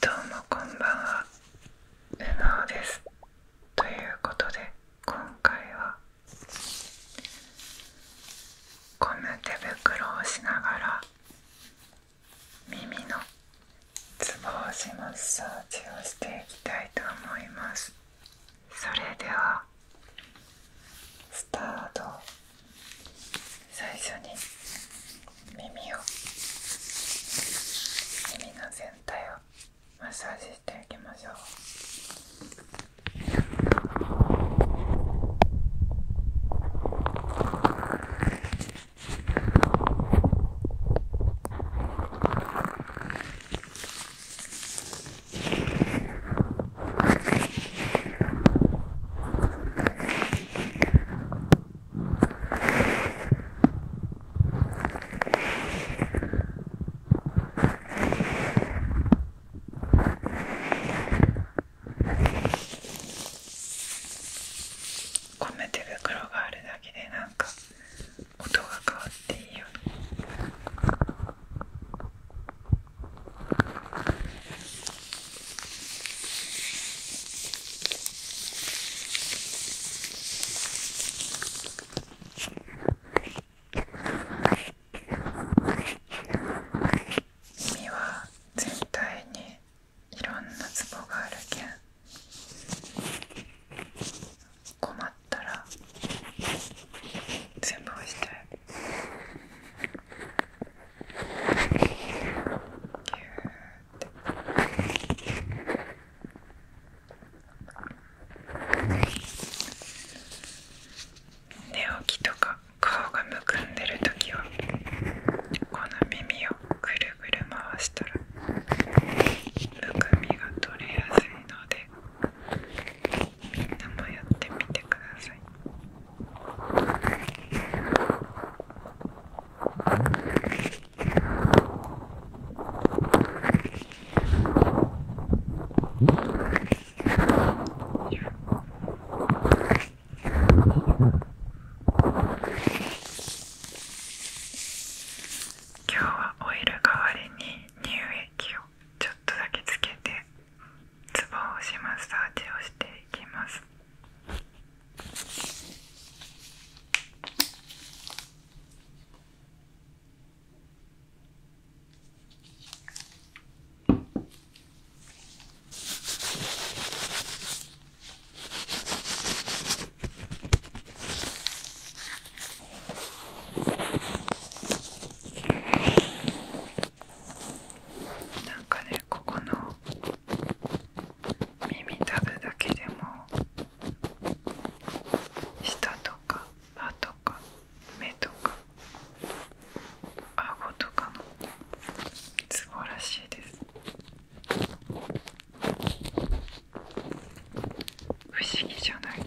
どうもこんばんは、ルナオです。ということで今回はゴム手袋をしながら耳のツボ押しマッサージをしていきたいと思います。それではスタート。最初に耳を耳の全体をマッサージしていきましょうこんな手袋があるだけでなんか音が変わっていいよね君は全体にいろんなツボがあるけん困ったら全部押してぎゅー寝起きとか顔がむくんでる時はこの耳をぐるぐる回したらむくみが取れやすいのでみんなもやってみてください。今日はオイル代わりに乳液をちょっとだけつけてツボを押します。サージをしていきます。なんかねここの耳たぶだけでも舌とか歯とか目とか顎とかのツボらしいです不思議じゃない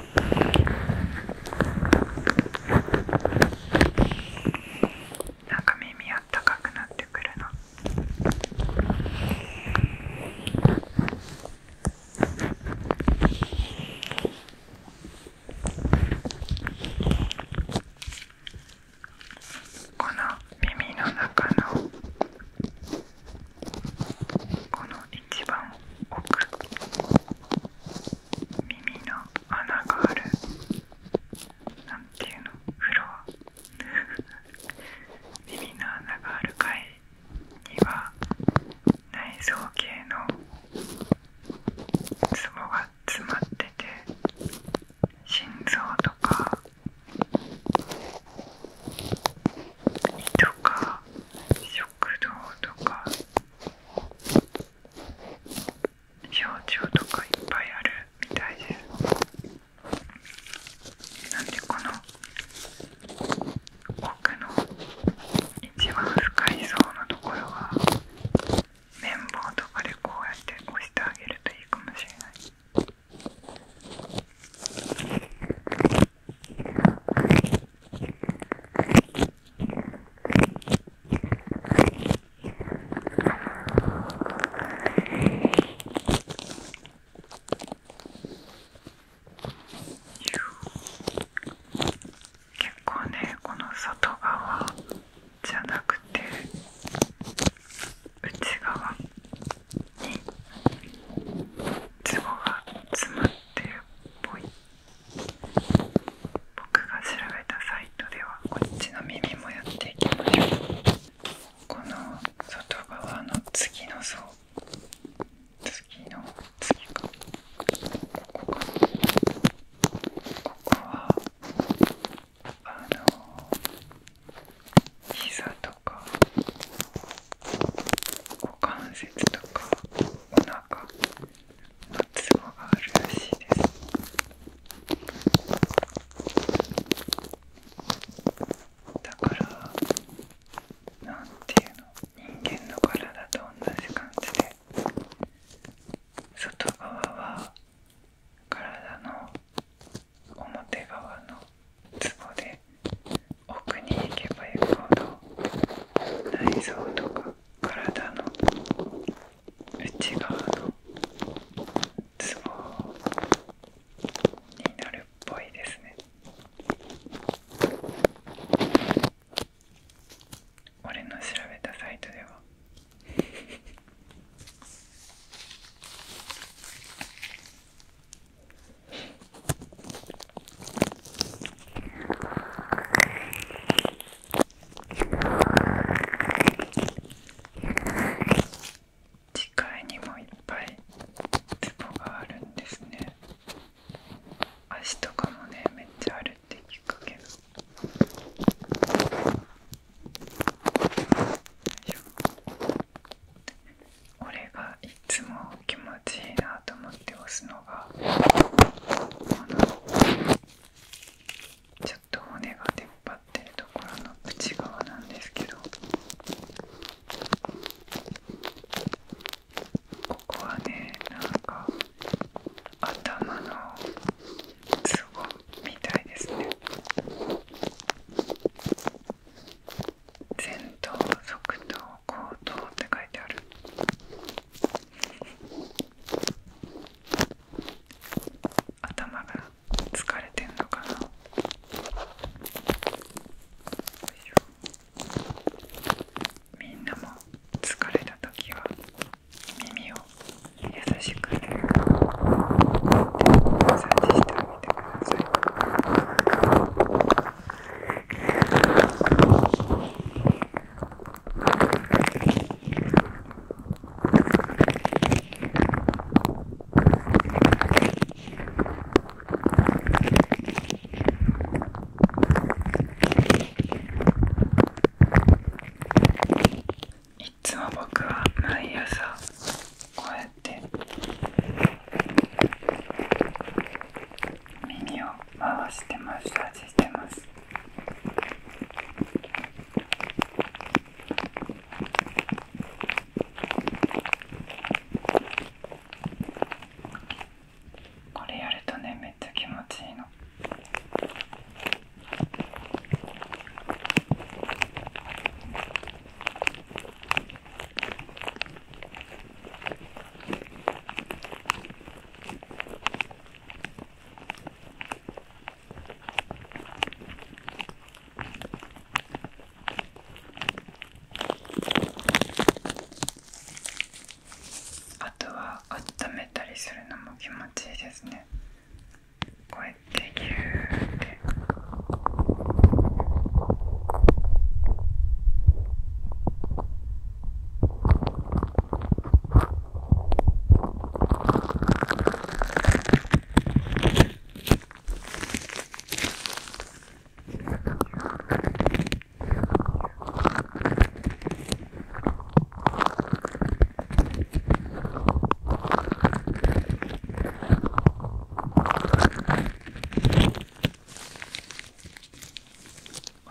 なんか耳あったかくなってくるの。この耳の中のこの一番奥耳の穴があるなんていうのフロア耳の穴がある階には内臓系のツボが詰まってて心臓とか胃とか食道とか表情とかいっぱいあるみたいですなんでこの奥の一番深い層のところは綿棒とかでこうやって押してあげるといいかもしれない結構ねこの外側じゃなくて内側にツボが詰まってるっぽい。僕が調べたサイトではこっちの耳もやっていきましょうこの外側の次の層次の次かここかここはあの膝とか股関節とかお腹ツボがあるらしいですだからなんていうの人間の体と同じ感じで外側は体の表側のツボで奥に行けば行くほど内臓とか体の内側のツボになるっぽいですね俺の調べたサイトでは 次回にもいっぱいツボがあるんですね足とかもねめっちゃあるって聞くけどよいしょ。俺がいつも気持ちいいなと思って押すのがこのちょっと骨が出っ張ってるところの内側なんですけどここはねなんか頭のツボみたいですね前頭側頭後頭って書いてある頭が疲れてんのかなみんなも疲れた時は耳を優しくてマッサージしてあげてくださいいつも僕は毎朝こうやって耳を回してまッサーこれやるとねめっちゃ気持ちいいの。あとは温めたりするのも気持ちいいですねこうやってギューってこ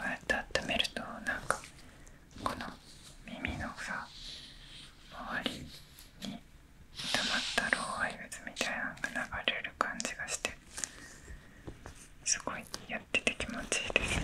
うやって温めるとなんかこの耳のさ周りに溜まった老廃物みたいなのが流れる感じがしてすごいやってて気持ちいいです。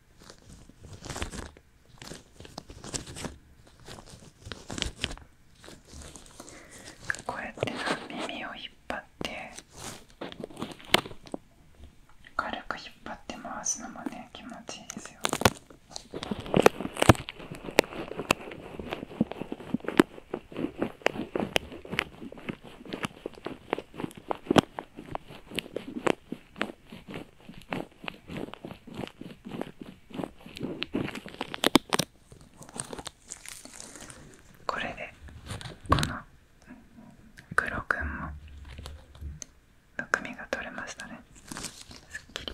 こうやってさ耳を引っ張って軽く引っ張って回すのもね気持ちいいですよ。これでこの黒くんもむくみが取れましたねすっきり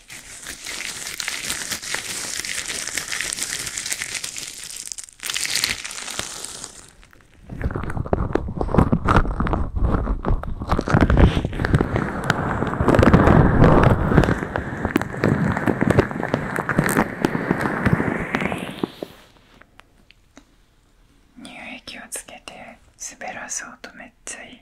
乳液をつけて滑らそうとめっちゃいい。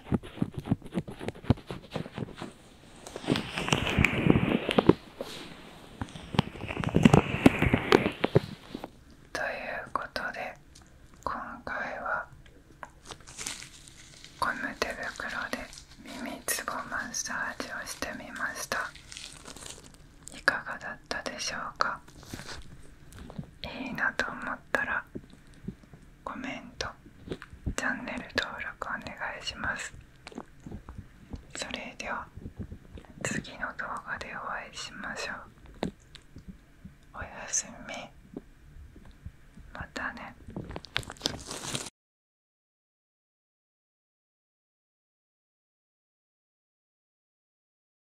ということで今回はゴム手袋で耳つぼマッサージをしてみましたいかがだったでしょうかいいなと思ったらコメントチャンネル登録お願いしますそれでは次の動画でお会いしましょうおやすみまたね